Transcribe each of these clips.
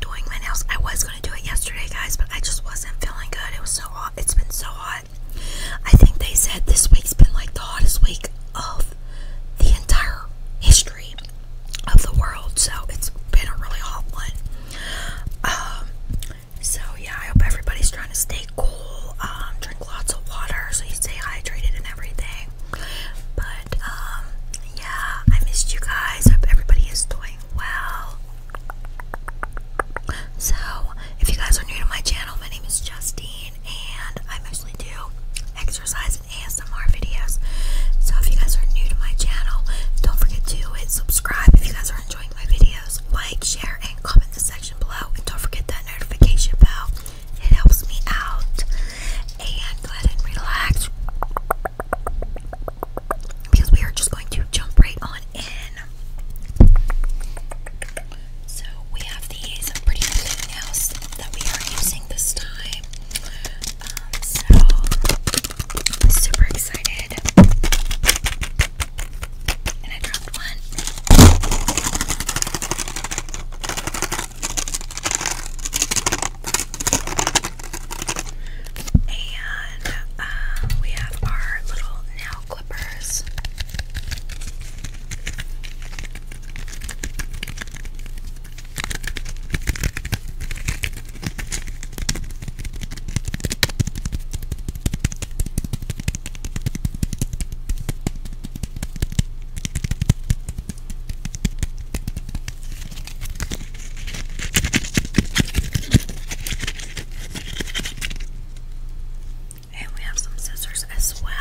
doing my nails. I was gonna do it yesterday, guys, but I just wasn't feeling good. It was so hot. It's been so hot. I think they said this week's been like the hottest week of the entire history of the world. So it's been a really hot one. Um, so yeah, I hope everybody's trying to stay cool. Um, drink lots of water so you stay hydrated and everything. But, um, yeah, I missed you guys. Hope everybody is doing well. So, if you guys are new to my channel, my name is Justine, and I mostly do exercise and ASMR videos. So, if you guys are new to my channel, don't forget to hit subscribe if you guys are enjoying my videos. Like, share, and comment the section below, and don't forget that notification bell it helps me out and let ahead relax because we are just going to jump right on in. So we have these pretty nails that we are using this time. Um, so super excited. And I dropped one. And um, we have our little nail clippers. And we have some scissors as well.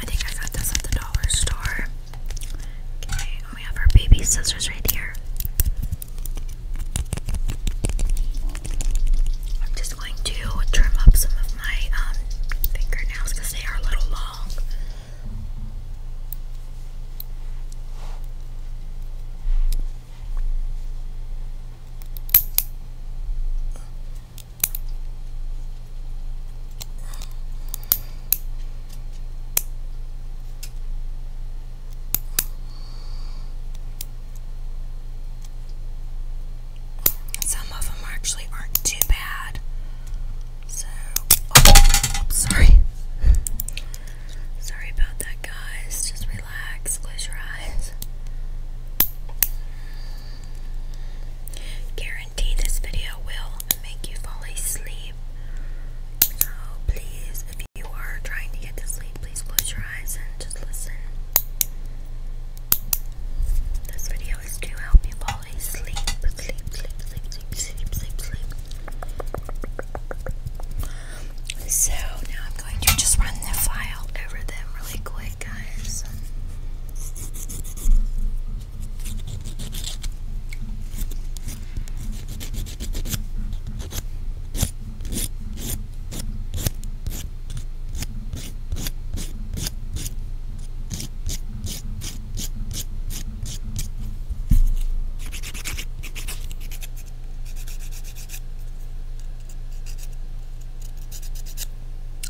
I think I got this at the dollar store. Okay, we have our baby scissors right here. I'm just going to trim up some my um, fingernails because they are a little long. Some of them actually aren't too bad. So, oh, sorry. Sorry about that, guys. Just relax, close your eyes. Guarantee this video will make you fall asleep. So, please, if you are trying to get to sleep, please close your eyes and just listen. This video so now I'm going to just run the file over them really quick, guys.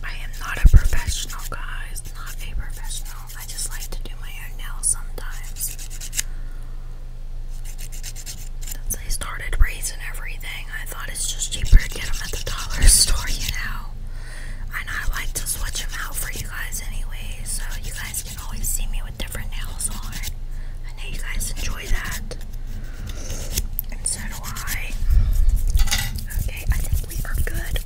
I am not a professional, guys. Not a professional. I just like to do my own nails sometimes. Since I started raising everything, I thought it's just cheaper to get them at the dollar store, you know. And I like to switch them out for you guys anyway, so you guys can always see me with different nails on. I know you guys enjoy that. And so do I. Okay, I think we are good.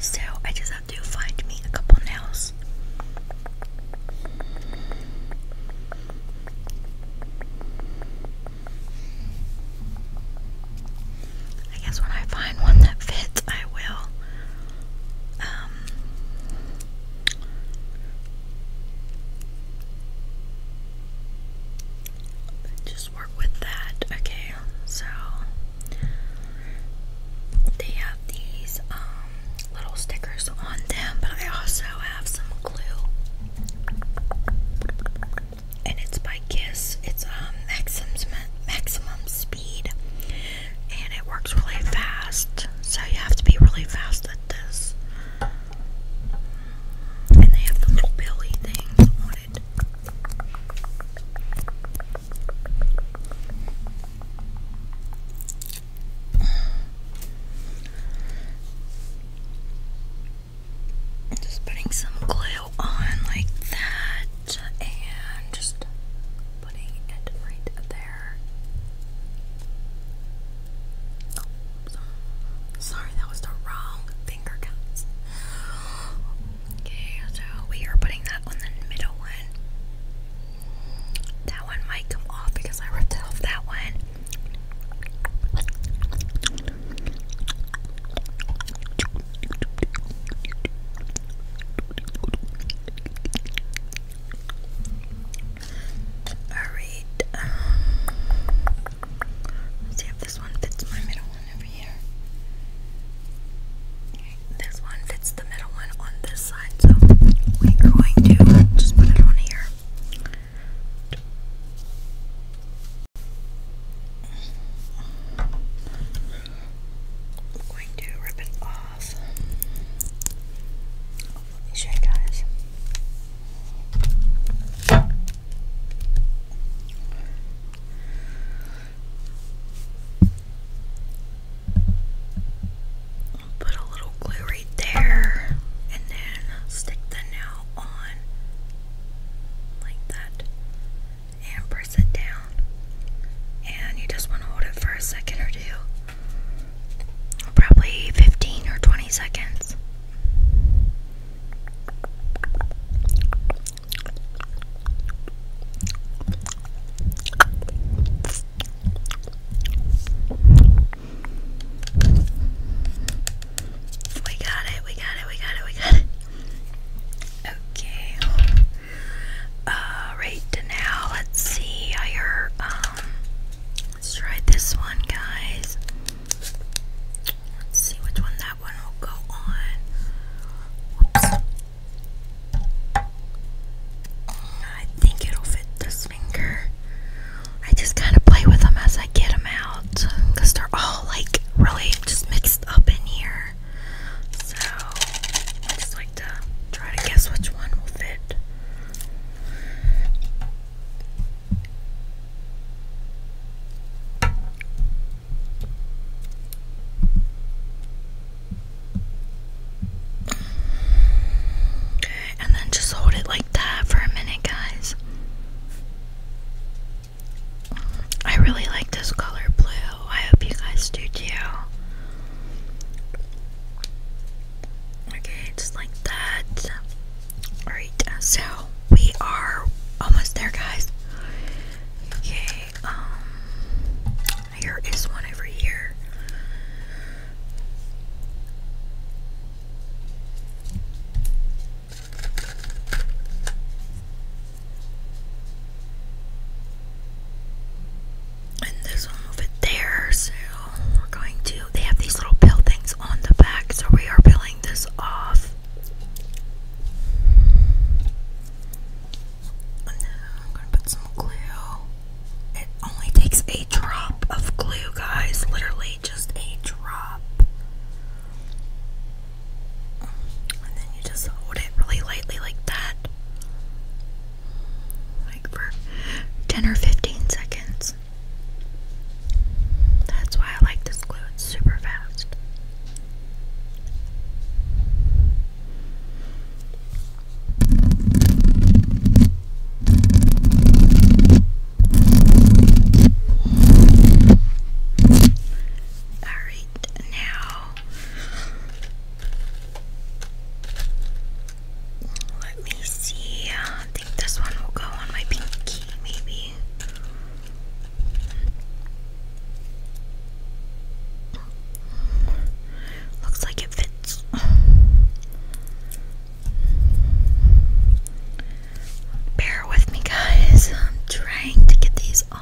So I just have to find me a couple nails. I guess when I find one that fits, I will. Um, just work with that. Okay, so they have these um, little stickers on them, but I also have some glue, and it's by Kiss. It's um, maximum speed, and it works really fast. So you have to be really fast at this. And they have the little belly things on it. Just putting some glue on like that and just putting it right there sorry, that was the wrong finger guns. Okay, so we are putting that on the middle one. That one might come off because I ripped off that one. Alright, um, let's see if this one fits my middle one over here. This one fits the middle one on this side, so we're going to just put it on here. I'm going to rip it off. Put a little glue right there and then stick the nail on like that and press it down. And you just want to hold it for a second or two. Probably 15 or 20 seconds. We got it, we got it, we got it, we got it. Okay. Alright, now let's see. I heard Let's try this one, guys. see which one that one will go on. I think it'll fit this finger. I just kind of play with them as I get them out they're all like really just mixed up in here. So I just like to try to guess which one will fit and then just hold it like that for a minute, guys. I really like this color blue. I hope you guys do too. Okay, just like that. Alright, uh, so we are almost there, guys. Okay, um, here is one over here and this one will there. So we're going to. They have these little pill things on the back, so we are peeling this off. I'm gonna put some glue. It only takes a drop of glue, guys. Literally, just a drop. And then you just hold it really lightly like that like for 10 or 15 seconds. That's why I like this glue, it's super fast. Alright, now let me see. I think this one will go on my pinky, maybe. Looks like it fits. Bear with me, guys. I'm trying to get these on.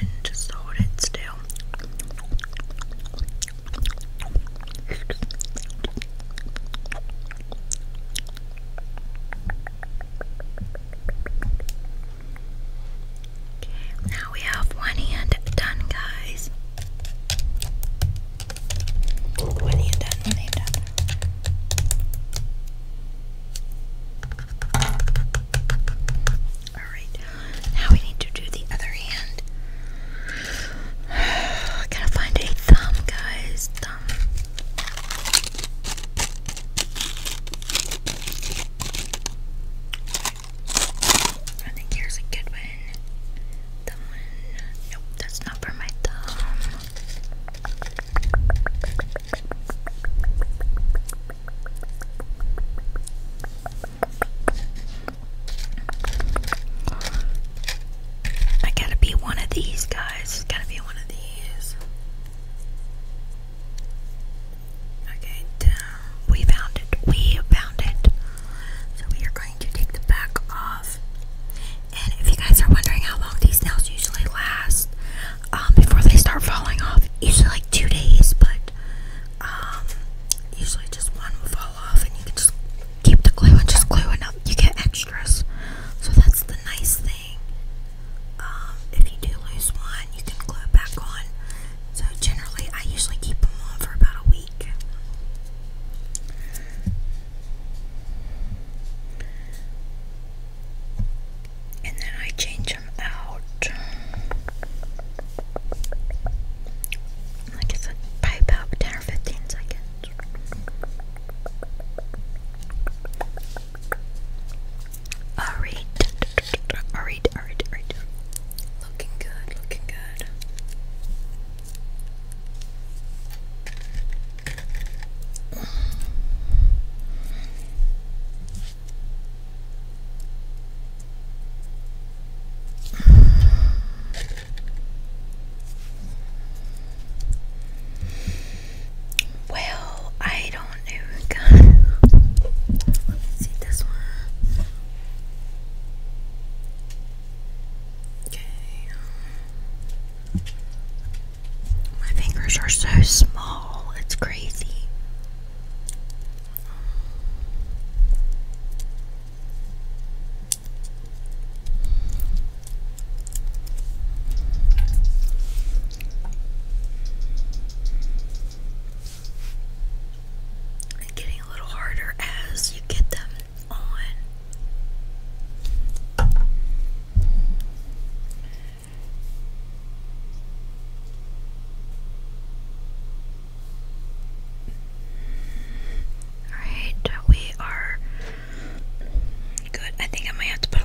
And just hold it still. Now we have one hand done, guys. One hand done, one hand done. Alright, now we need to do the other hand. gotta find a thumb, guys. Thumb. I think here's a good one. The one, nope, that's not for my thumb. I gotta be one of these guys. Gotta be one of these. Okay, down. We found it. We found it. So we are going to take the back off. And if you guys are wondering how long these nails usually last, um, before they start falling off, usually like two days, but um, usually just one will fall off, and you can just keep the glue and just glue enough. You get extras, so that's the nice thing. Um, if you do lose one, you can glue it back on. So generally, I usually keep them on for about a week. And then I change them out. Like I said, by about 10 or 15 seconds. Alright. Alright, alright, Looking good, looking good. Well, I don't know. Let's see this one. Okay. My fingers are so small, it's crazy. Getting a little harder as you get them on. Alright, we are good. I think I might have to put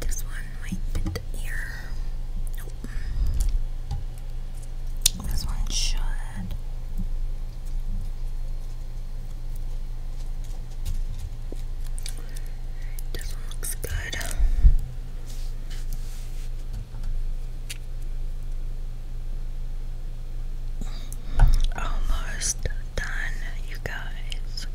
This one might fit here. Nope. This one should. This one looks good. Almost done, you guys.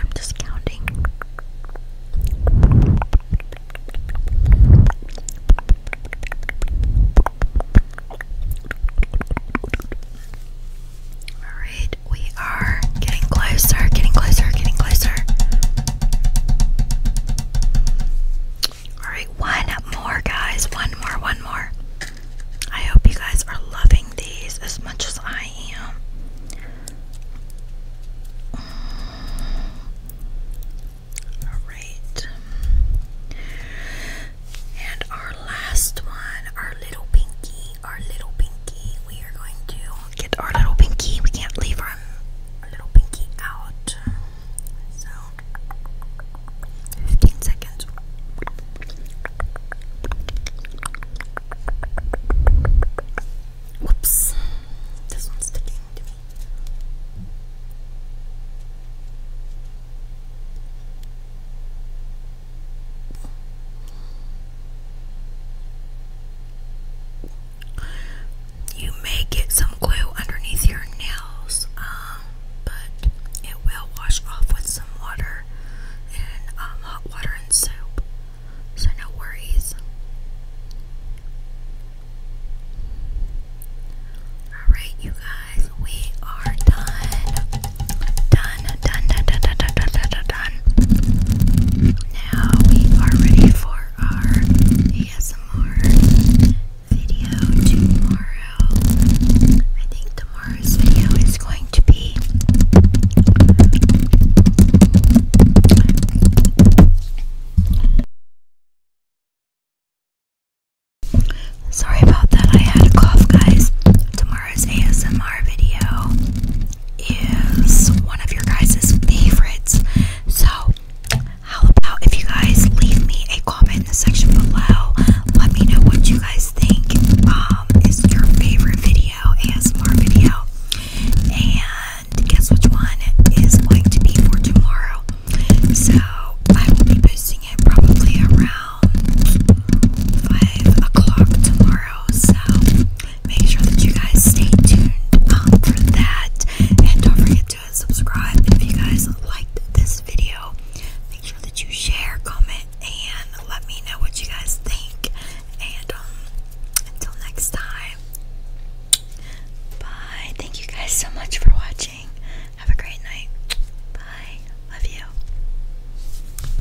I'm just counting. Alright, we are getting closer, getting closer, getting closer. Alright, one more, guys. One more, one more. I hope you guys are loving these as much as I am. Alright. And our last one, our little pinky our little pinky. We are going to get our little pinky. We can't leave our, little pinky out. So, 15 seconds. Whoops. This one's sticking you may get some glue underneath your nails, um, but it will wash off with some water and um, hot water and soap, so no worries. Alright, you guys, we are done. Done. Now we are ready for our ASMR video tomorrow. I think tomorrow's video is going to be Sorry about that, I had a cough, guys. Tomorrow's ASMR video is one of your guys' favorites. So, how about if you guys leave me a comment in the section below? Let me know what you guys think um, is your favorite video, ASMR video. And guess which one is going to be for tomorrow. So, I will be posting it probably around 5 o'clock tomorrow so make sure that you guys stay tuned um, for that. And don't forget to subscribe if you guys liked this video. Make sure that you share, comment, and let me know what you guys think. And um, until next time, bye. Thank you guys so much for watching. Have a great night. Bye. Love you.